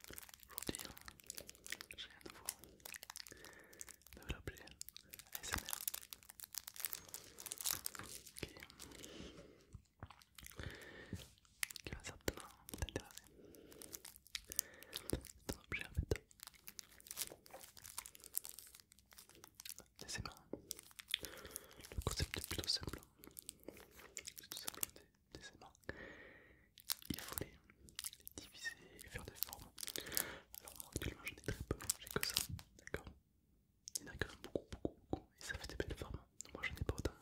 Aujourd'hui, hein, j'ai à nouveau qui va certainement t'intéresser. C'est un objet en fait. Le concept est plutôt simple c'est tout simplement des, éléments. Il faut les, diviser et faire des formes. Alors moi actuellement j'en ai très peu, j'ai que ça, d'accord Il y en a quand beaucoup, beaucoup, beaucoup, et ça fait des belles formes. Moi j'en ai pas autant,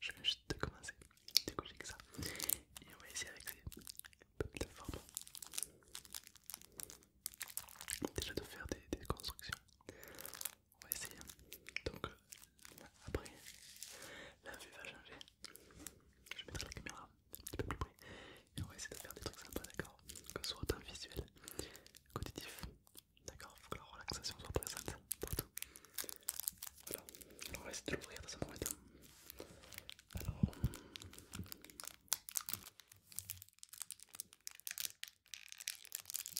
je viens juste de commencer, du que ça. Et on va essayer avec ces belles formes. Déjà de faire des constructions on va essayer. Donc après, la vue va changer. Je mettrai la caméra un petit peu plus près et on va essayer de faire des trucs sympas, d'accord Que ce soit un visuel, qu'auditif. d'accord Faut que la relaxation soit présente partout. Voilà, on va essayer de l'ouvrir dans un premier Alors.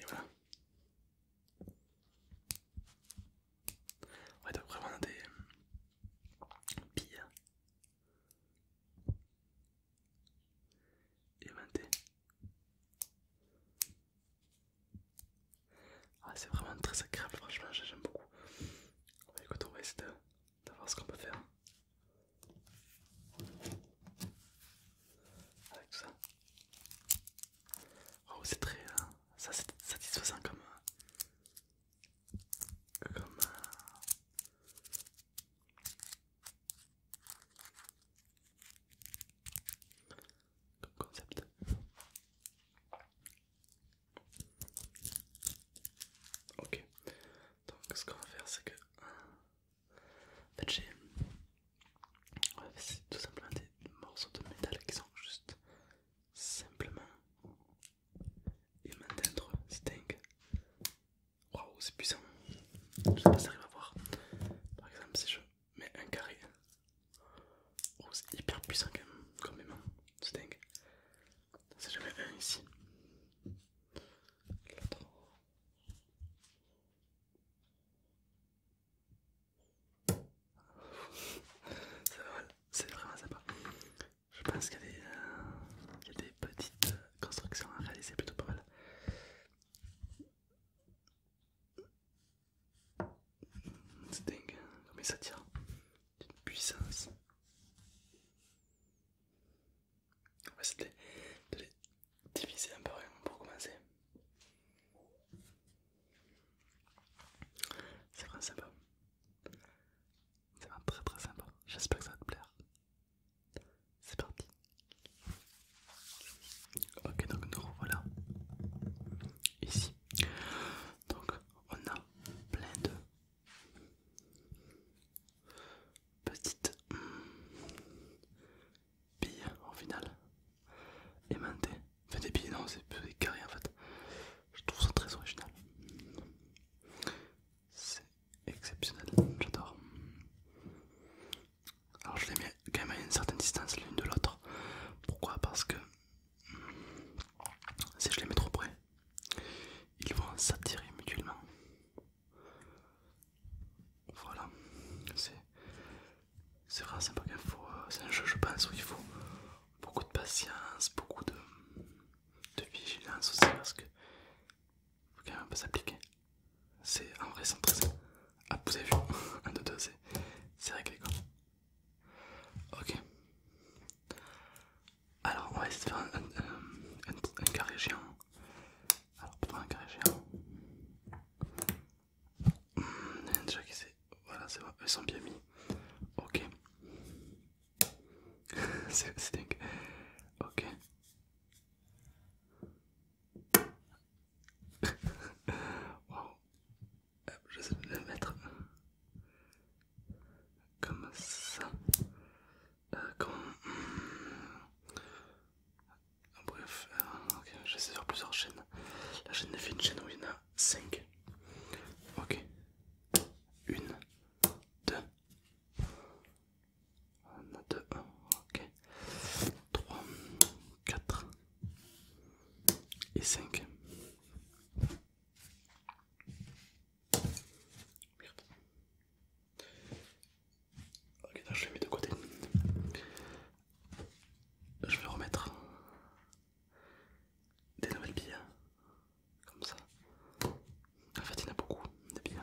Et voilà. va donc vraiment des euh, billes. Éventé. Ah, c'est vraiment très agréable, franchement, j'aime beaucoup. Bah, écoute, on va essayer de, voir ce qu'on peut faire avec tout ça. Oh, c'est très euh, satisfaisant comme. Euh, comme. Euh, concept. Ok, donc ce qu'on va faire c'est que en fait, c'est tout simplement des morceaux de métal qui sont juste simplement aimantés maintenir Sting. c'est Waouh, c'est puissant. Je sais pas si j'arrive à voir. Par exemple, c'est je mais un carré. où oh, c'est hyper puissant quand même, quand même, hein. c'est dingue. je jamais un ici. L'autre. c'est vraiment sympa. Je pense qu'il y a des euh, petites euh, constructions à réaliser plutôt pas mal. C'est dingue, hein, mais ça tire d'une puissance. On va essayer de les diviser un peu hein, pour commencer. C'est vraiment sympa. C'est vraiment très très sympa. J'espère que ça va te plaire. C'est parti. Ok, donc nous revoilà ici. Donc on a plein de petites billes en final aimantées. Enfin des billes, non, c'est des carrés en fait. Je trouve ça très original. C'est exceptionnel, j'adore. Alors je les mets quand même à une certaine distance l'une de l'autre. Pourquoi Parce que hmm, si je les mets trop près, ils vont s'attirer mutuellement. Voilà, c'est vraiment sympa euh, C'est un jeu, je pense, où il faut beaucoup de patience, beaucoup de, vigilance aussi, parce que faut quand même s'appliquer. C'est en vrai sans Ah, vous avez vu 1, 2, 2, c'est réglé quoi. Ok. Alors, on va essayer de faire un, carré géant. Alors, pour faire un carré géant. Hmm, déjà qui s'est... Voilà, c'est bon, ils sont bien mis. Ok. c'est dingue. Ok wow. J'essaie de le mettre comme ça. Euh, comme... Bref, j'essaie de faire plusieurs chaînes. La chaîne fait une chaîne où il y en a 5. Ok. 1, 2, on a 2, ok. 3, 4 et 5. Merde. Ok, là, je les mets de côté. Je vais remettre des nouvelles billes. Comme ça. En fait, il y en a beaucoup de billes.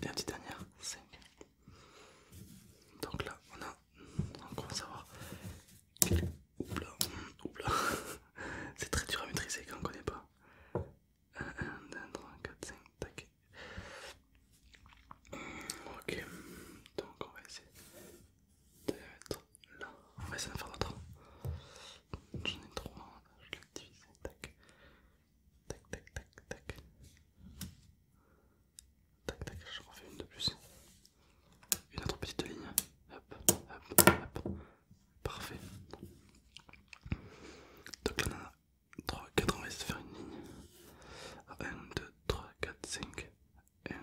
et la petite dernière 5. Donc là on a, on commence à voir, oupla, oupla, c'est très dur à maîtriser quand on ne connaît pas. 1, 1, 2, 3, 4, 5, tac. Ok, donc on va essayer de mettre là, on va essayer de faire 3 J'en ai trois, je l'ai divisé, tac. Tac, tac, tac, tac. Tac, tac, je refais une de plus. Une autre petite ligne. Hop, hop, hop. Parfait. Donc là, on a 3, 4, on va essayer de faire une ligne. 1, 2, 3, 4, 5. 1.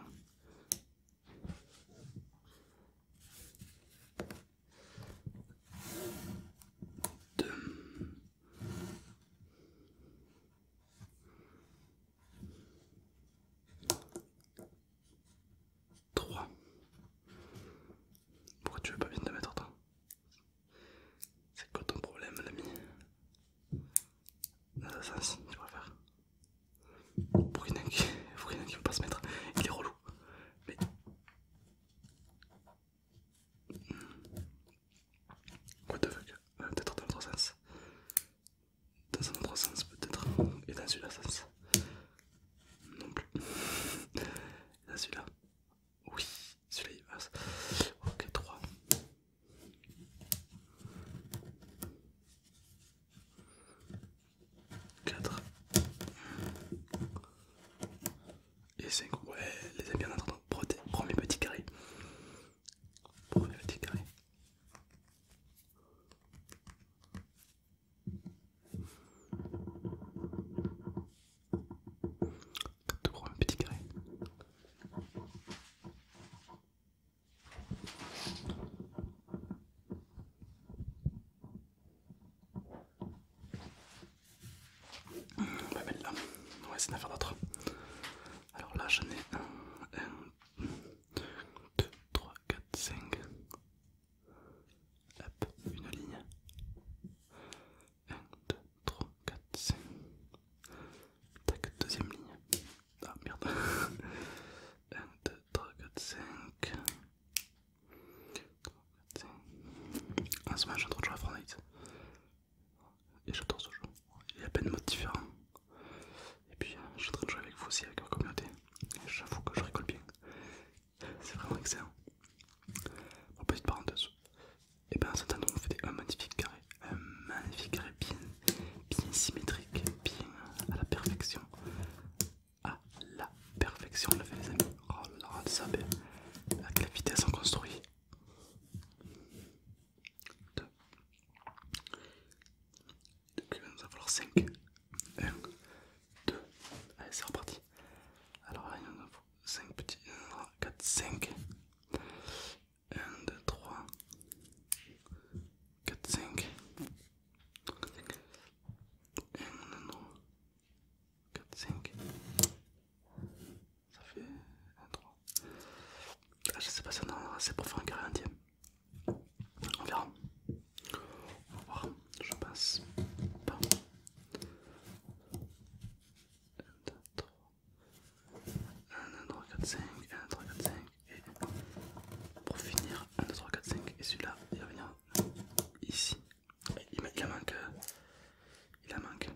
2 3 Pourquoi tu veux pas bien te mettre toi C'est quoi ton problème l'ami Assassin tu préfères Pour il y en ait qui veut pas se mettre, il est relou. Mais Quoi de fuck euh, Peut-être dans l'autre sens. Dans un autre sens peut-être. Et dans celui-là Non plus. Et dans celui-là. Oui, celui-là il passe. Ok, 3. 4 et cinq ouais, les amis, en attendant entendu. Premier petit carré. Premier petit carré. Tout premier petit carré. On va là. On va essayer d'en faire d'autres. Alors là, j'en ai 1, 2, 3, 4, 5. Hop, une ligne. 1, 2, 3, 4, 5. Tac, deuxième ligne. Ah merde. 1, 2, 3, 4, 5. En ce moment, de jouer à Fortnite. Et j'adore ce jeu. Il y a plein de modes différents. Et puis, euh, je suis en train de jouer avec vous aussi, avec votre communauté. J'avoue que je rigole bien. C'est vraiment excellent. Bon, petite parenthèse. Et eh bien, en ce temps fait faites un magnifique carré. Un magnifique carré bien symétrique, bien à la perfection à ah, la perfection, le fait les amis. Oh là ça vitesse on construit 2 5. 1, 2. Allez, c'est reparti. Alors 5 petits. 4, 5. 1, 2, 3. 4, 5. 4, 5. Ça fait 1, 3. Ah, je sais pas si on en a assez pour faire un carré entier. On verra. On va voir. Je passe. Pas. 1, 2, 3. 1, 2, 3, 4, 5. 1, 2, 3, 4, 5. Et pour finir, 1, 2, 3, 4, 5. Et celui-là, il va venir ici. Il, en manque. Il en manque.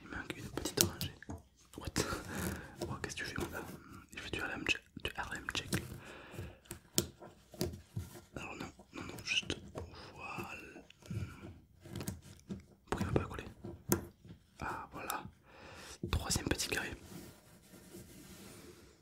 Il manque une petite orangée What? Oh, qu'est-ce que tu fais, mon gars? Il fait du RM Check. Check. Alors, non, non, non, juste voilà. Pourquoi il m'a pas collé? Ah, voilà. Troisième petit carré.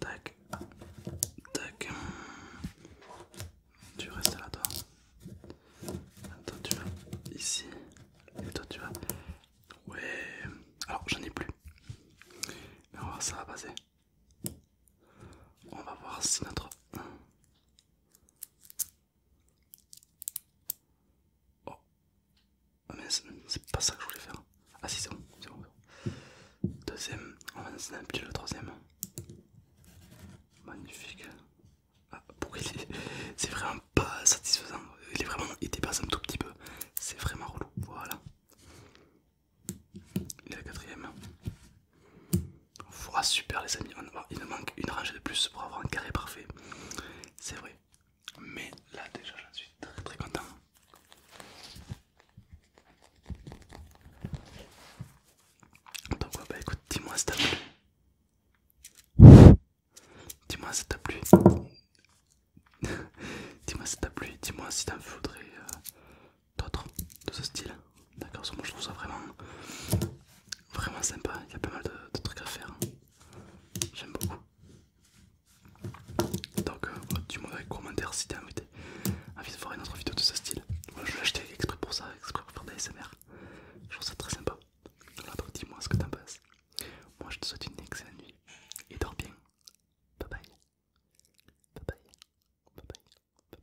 Tac, tac. Tu restes là, toi. Toi, tu vas ici. Et toi, tu vas. Ouais. Alors, j'en ai plus. on va voir, ça va passer. On va voir si notre. Oh, ah, mais c'est pas ça que je voulais faire. Ah si c'est bon, Deuxième, on va snapper le troisième. Magnifique. Ah, C'est vraiment pas satisfaisant. Il est vraiment... Il dépasse un tout petit peu. C'est vraiment relou. Voilà. Il est la quatrième. super les amis. Il nous manque une rangée de plus pour avoir un carré parfait. C'est vrai mais là déjà j'en suis très très content. Donc quoi bah écoute, dis-moi si t'as plu. Dis-moi si t'as plu. dis-moi si t'as plu, dis-moi si t'en voudrais euh, d'autres de ce style. D'accord, moi je trouve ça vraiment vraiment sympa, il y a pas mal de trucs à faire. J'aime beaucoup. Donc, euh, du tu dans les commentaires si t'as Envie de voir une autre vidéo de ce style. Moi je l'ai acheté exprès pour ça, exprès pour faire des Je trouve ça très sympa. Alors, dis-moi ce que t'en penses. Moi, je te souhaite une excellente nuit et dors bien. Bye bye. Bye bye. Bye bye. Bye bye.